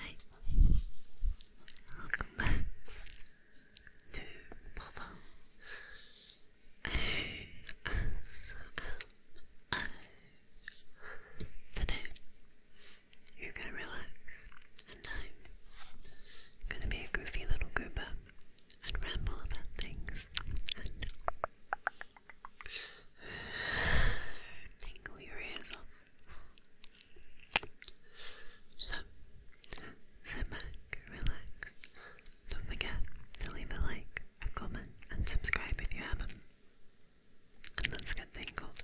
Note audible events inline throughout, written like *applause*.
Hi, welcome back to Papa. O S M O. Today, you're gonna relax, and I'm gonna be a goofy little goober and ramble about things Tingle your ears off. So, sit back, relax. Don't forget to leave a like, a comment, and subscribe if you haven't. And let's get tingled.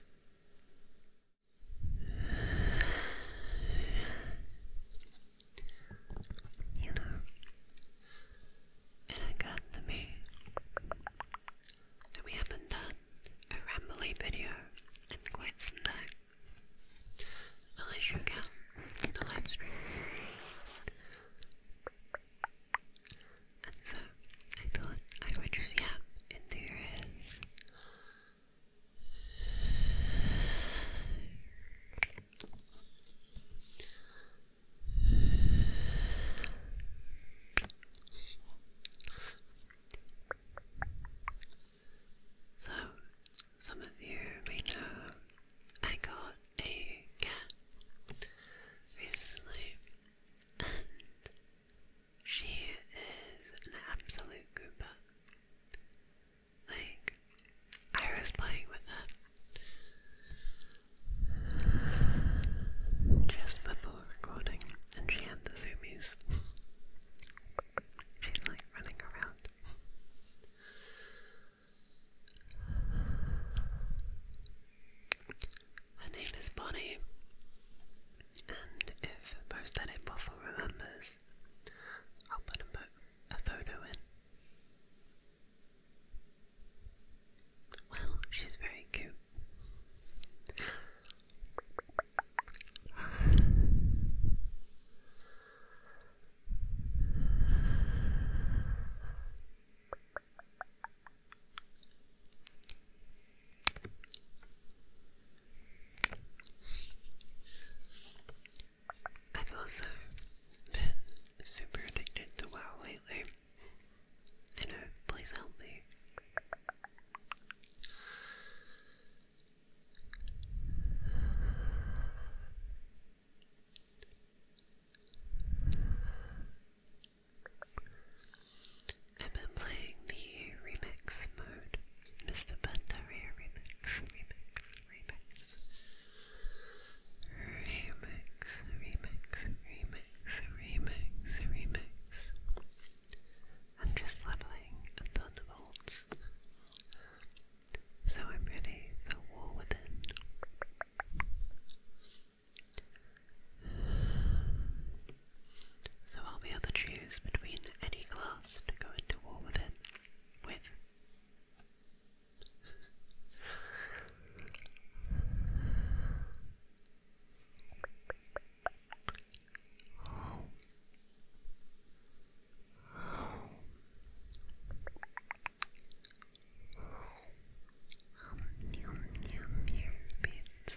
You know, it occurred to me that we haven't done a rambly video in quite some time. Unless you count the live And so I thought I would just yap into your ears. So, some of you may know I got a cat recently, and she is an absolute Goomba. Like, I was with her, just before recording, and she had the zoomies. *laughs* She's like running around. Her name is Bonnie, and if Post Edit remembers, I'll put a photo in well, she's very cute. I've also been super addicted to WoW lately. I know, please help me. I've been playing the remix mode, Mr. Pandaria remix remix, remix, remix, remix, remix. I'm just leveling a so I'm ready for War Within. So I'll be able to choose between any class to go into War Within with. Yum, yum, your pizza.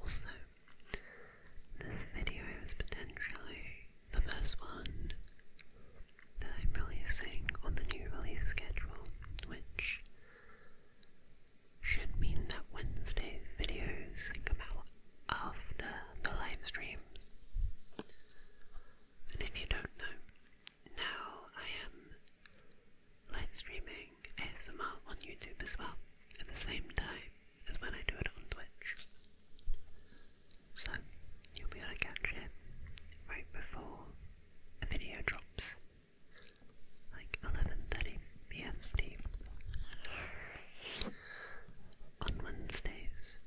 Also, this video is potentially the first one that I'm releasing on the new release schedule, which should mean that Wednesday's videos come out of the, the live And if you don't know, now I am live streaming ASMR on YouTube as well at the same time as when I do it on Twitch. So you'll be able to catch it right before a video drops, like 11.30 PST on Wednesdays.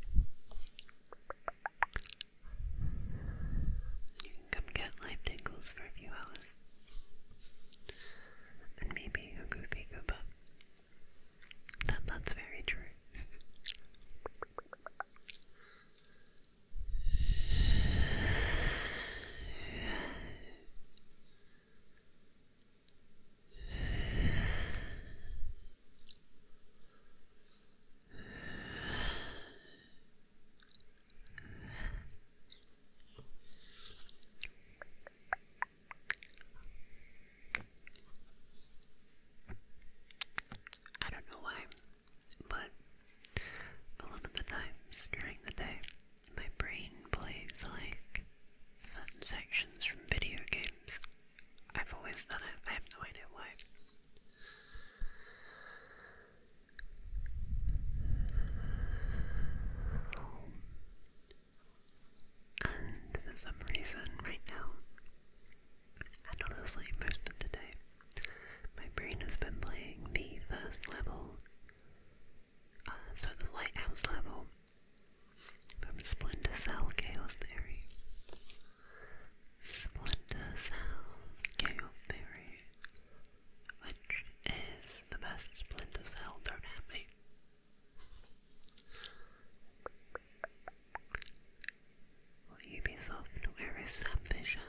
You can come get live tingles for a few hours. And maybe a goopy goop up. That, that's very true. I don't know why, but a lot of the times during the day, my brain plays like certain sections from video games. I've always done it, I have no idea why. And for some reason, right now, and honestly most of the day, my brain has been playing the first level uh, so the lighthouse level from Splendor Cell Chaos Theory. Splendor Cell Chaos Theory, which is the best Splendor Cell, don't have me. Well, Ubisoft, where is Sam Fisher?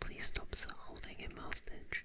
Please stop holding him hostage.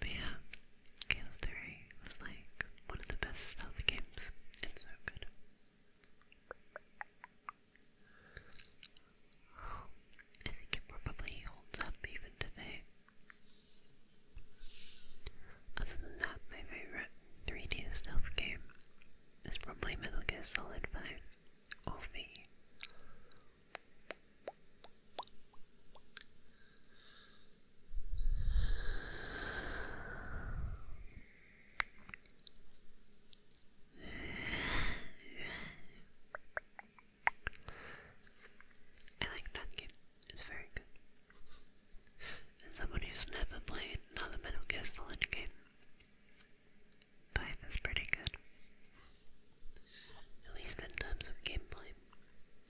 But yeah, Chaos Theory was like one of the best stealth games. It's so good. I think it probably holds up even today. Other than that, my favorite 3D stealth game is probably Metal Gear Solid 5 or I like that game. It's very good. As someone who's never played another Metal Gear Solid game, five is pretty good. At least in terms of gameplay.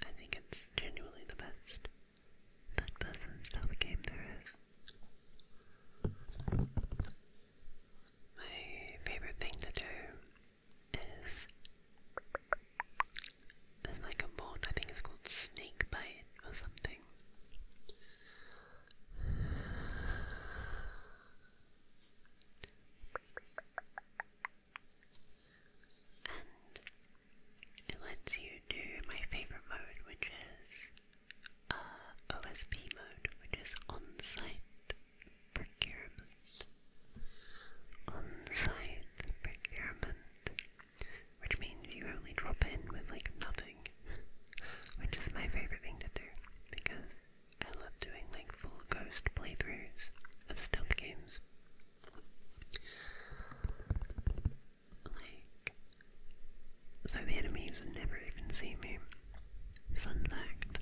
I think it's genuinely the best third person stealth game there is. My favorite thing to do is there's like a mod, I think it's called Snake Bite or something it lets you do my favorite mode, which is uh, OSB mode, which is on site procurement. On site procurement, which means you only drop in with like nothing, which is my favorite thing to do because I love doing lengthful ghost playthroughs of stealth games. Like, so the enemies have never even seen me. Fun fact,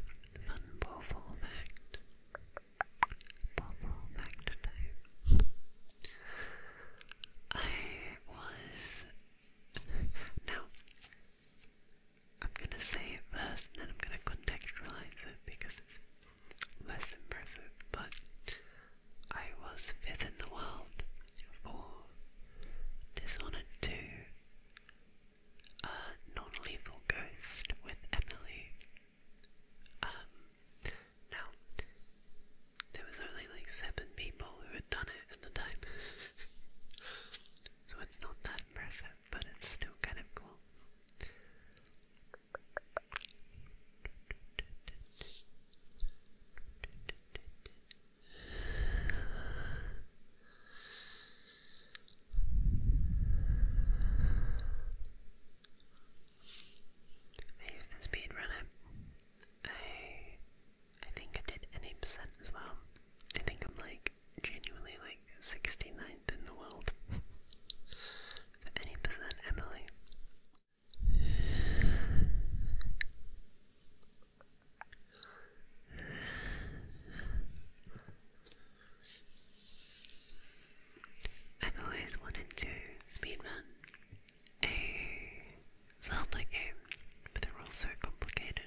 fun powerful fact, powerful fact time. I was *laughs* now I'm gonna say it first and then I'm gonna contextualize it because it's less impressive, but I was fifth in the world for Dishonored 2 a Non-Lethal Ghost with Emily. Um, now, there was only like seven people who had done it at the time, *laughs* so it's not that but it's still kind of cool. I used the speed I I think I did an percent as well. I think I'm like genuinely like 69th in the world. Any percent Emily. I've always wanted to speedrun a Zelda game, but they're all so complicated.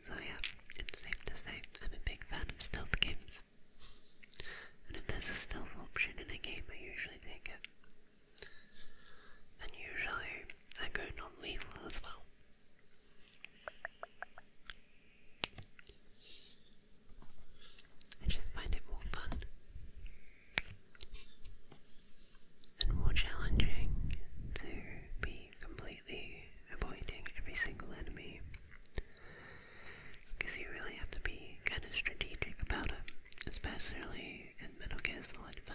So yeah, it's safe to say I'm a big fan of stealth games. And if there's a stealth option in a game, I usually take it. And usually I go non-lethal as well. I just find it more fun and more challenging to be completely avoiding every single enemy because you really have to be kind of strategic about it, especially in Metal Gear Solid 5.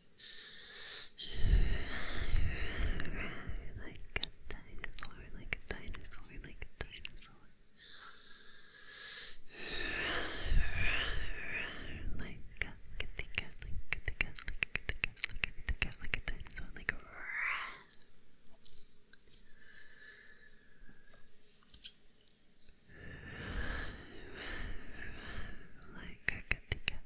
Like a dinosaur, like a dinosaur, like a dinosaur. Like a kitty cat, like a kitty cat, like a kitty cat, like a like a dinosaur, like a like a kitty cat,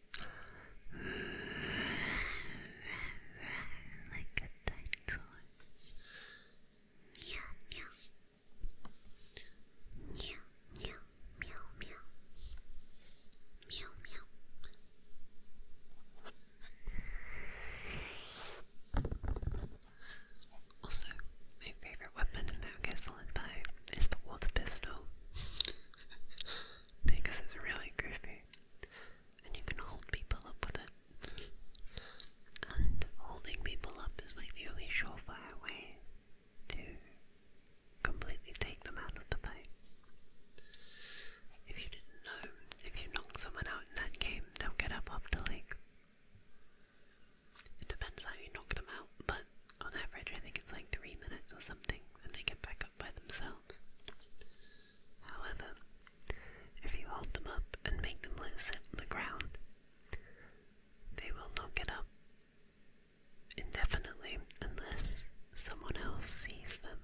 like a dinosaur. Meow, meow. Meow, meow, meow, meow. Meow, meow. Also, my favorite weapon in Mount Castle and 5 is the water pistol. *laughs* because it's really goofy and you can hold people up with it. And holding people up is like the only surefire way to completely take them out of the fight. If you didn't know, if you knock someone out in that game, they'll get up after like. It depends how you knock them out, but on average, I think it's like three minutes or something, and they get back up by themselves. However, if you hold them up and make them loose on the ground, they will not get up indefinitely unless someone else sees them.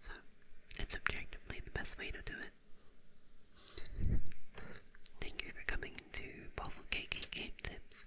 So, it's objectively the best way to do it. Thank you for coming to Waffle Cake Game Tips.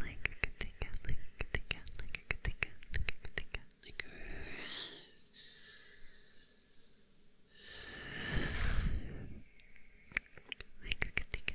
Like a cat, like a cat, like a cat, like a cat, like a like a cat. Like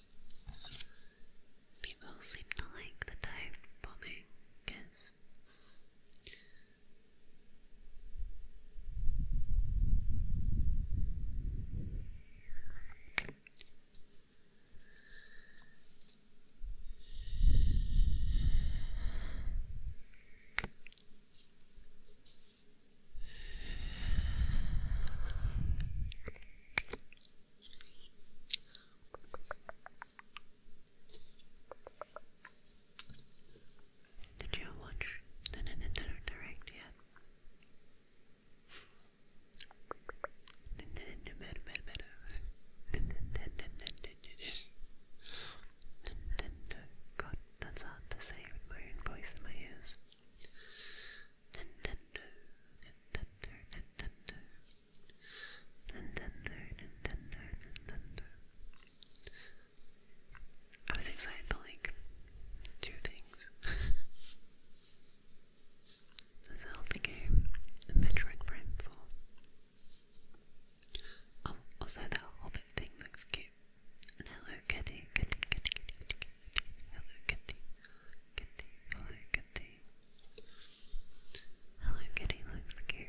People seem to like the dive bombing because did you watch the Nintendo Direct yet? better, better, better. God, that's hard to say with my own voice in my ears. I was excited for like two things. *laughs* the Zelda game and Metroid Prime 4. Um, oh, also that Hobbit thing looks cute. Hello Kitty, Kitty, Kitty, Kitty, Kitty, Hello Kitty, Kitty, Hello Kitty. Hello Kitty looks cute.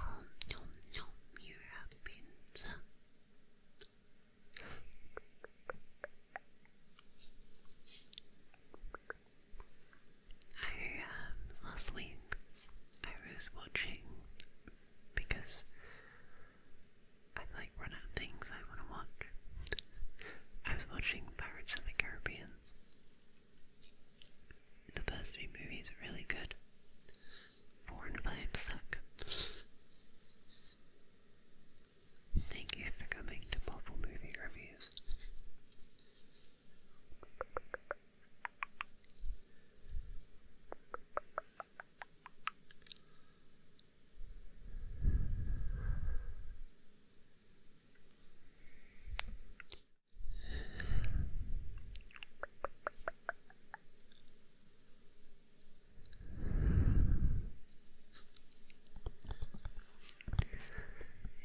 Oh no, no, Mira Pinza. I, uh, last week I was watching because I like run out things I want to watch. I was watching Pirates of the Caribbean the first three movies are really good. Four and suck. Thank you for coming to Bubble Movie Reviews. You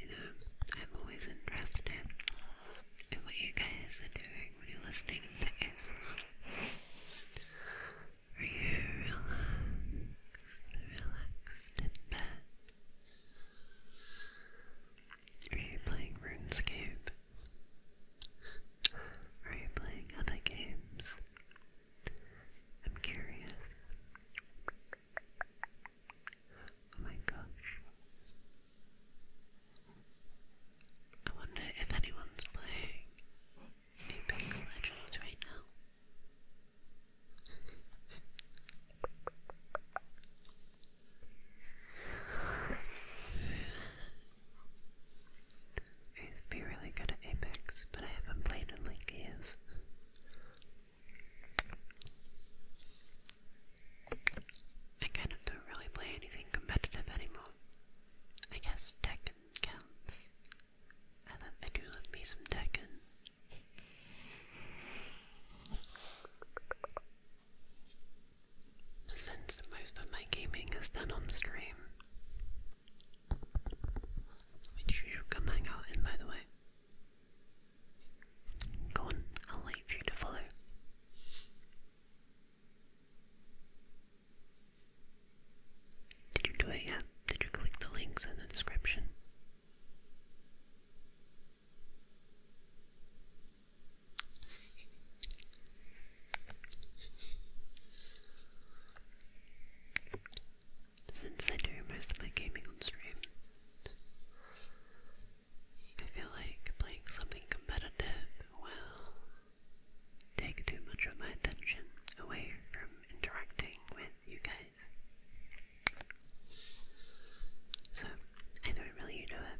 know, I'm always interested in what you guys are doing when you're listening to ASMR. Are you relaxed, relaxed in bed? Are you playing RuneScape? Are you playing other games? I'm curious. Oh my gosh. I wonder if anyone's playing Apex Legends right now. I used to be really good at Apex, but I haven't played in like years. I kind of don't really play anything competitive anymore. I guess Tekken counts. I, love, I do love me some Tekken. Since most of my gaming is done on stream, which you come hang out in by the way. Go on, I'll leave you to follow. Did you do it yet? Did you click the links in the description? Since I do most of my gaming on stream, I feel like playing something competitive will take too much of my attention away from interacting with you guys. So, I don't really know it.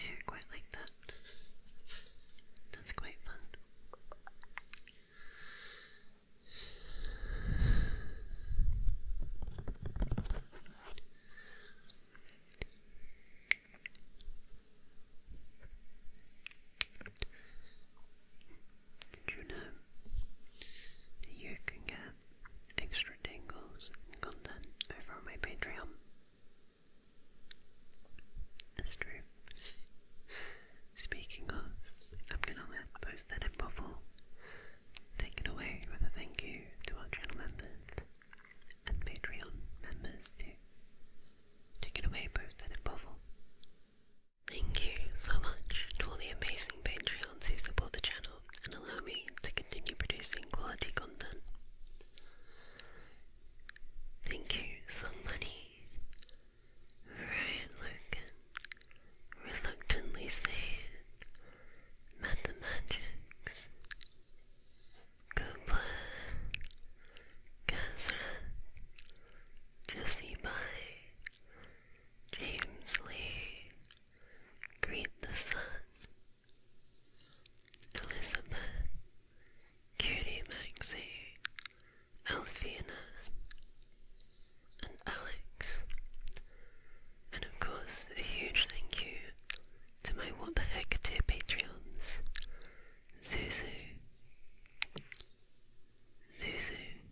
I quite like that. That's quite fun. Did you know you can get extra tingles and content over my Patreon? That's true. Speaking of, I'm gonna post that in bubble. Take it away with thank you to our channel members and Patreon members too. Take it away, post that in bubble. Thank you so much to all the amazing Patreons who support the channel and allow me to continue producing quality content. Thank you, somebody. Ryan Logan reluctantly said, Mathematics. Gobler, Kazra, Jesse By, James Lee, Greet the Sun, Elizabeth, Cutie Maxie, Alfina, and Alex. And of course, a huge thank you to my What the Heck dear Patreons Zuzu, Zuzu,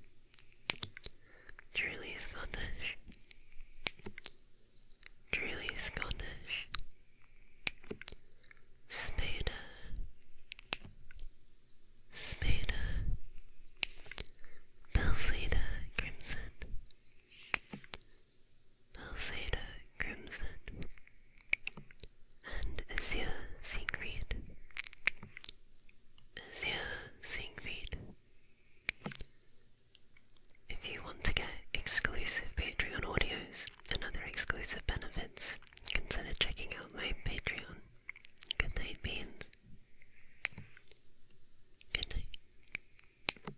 Truly Scottish, Truly Scottish, smoother, smoother, pulsator crimson, pulsator crimson, and azure seaweed, azure seaweed. If you want to get exclusive Patreon audios, and other exclusive benefits, consider checking out my Patreon. Good night, beans. Good night.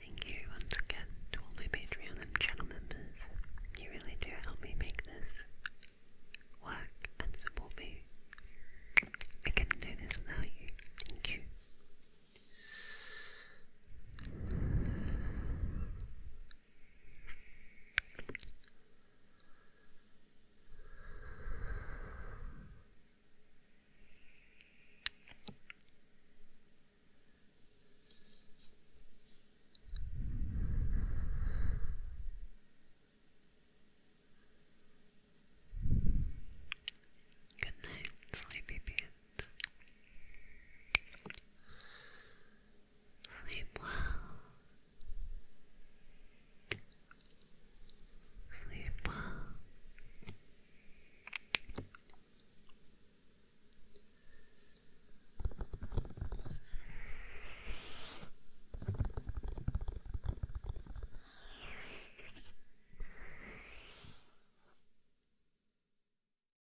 Thank you once again to all my Patreon and channel members. You really do help me make this work and support me. I couldn't do this without you. Thank you. Good night, sleepy pants. Sleep well. Sleep well.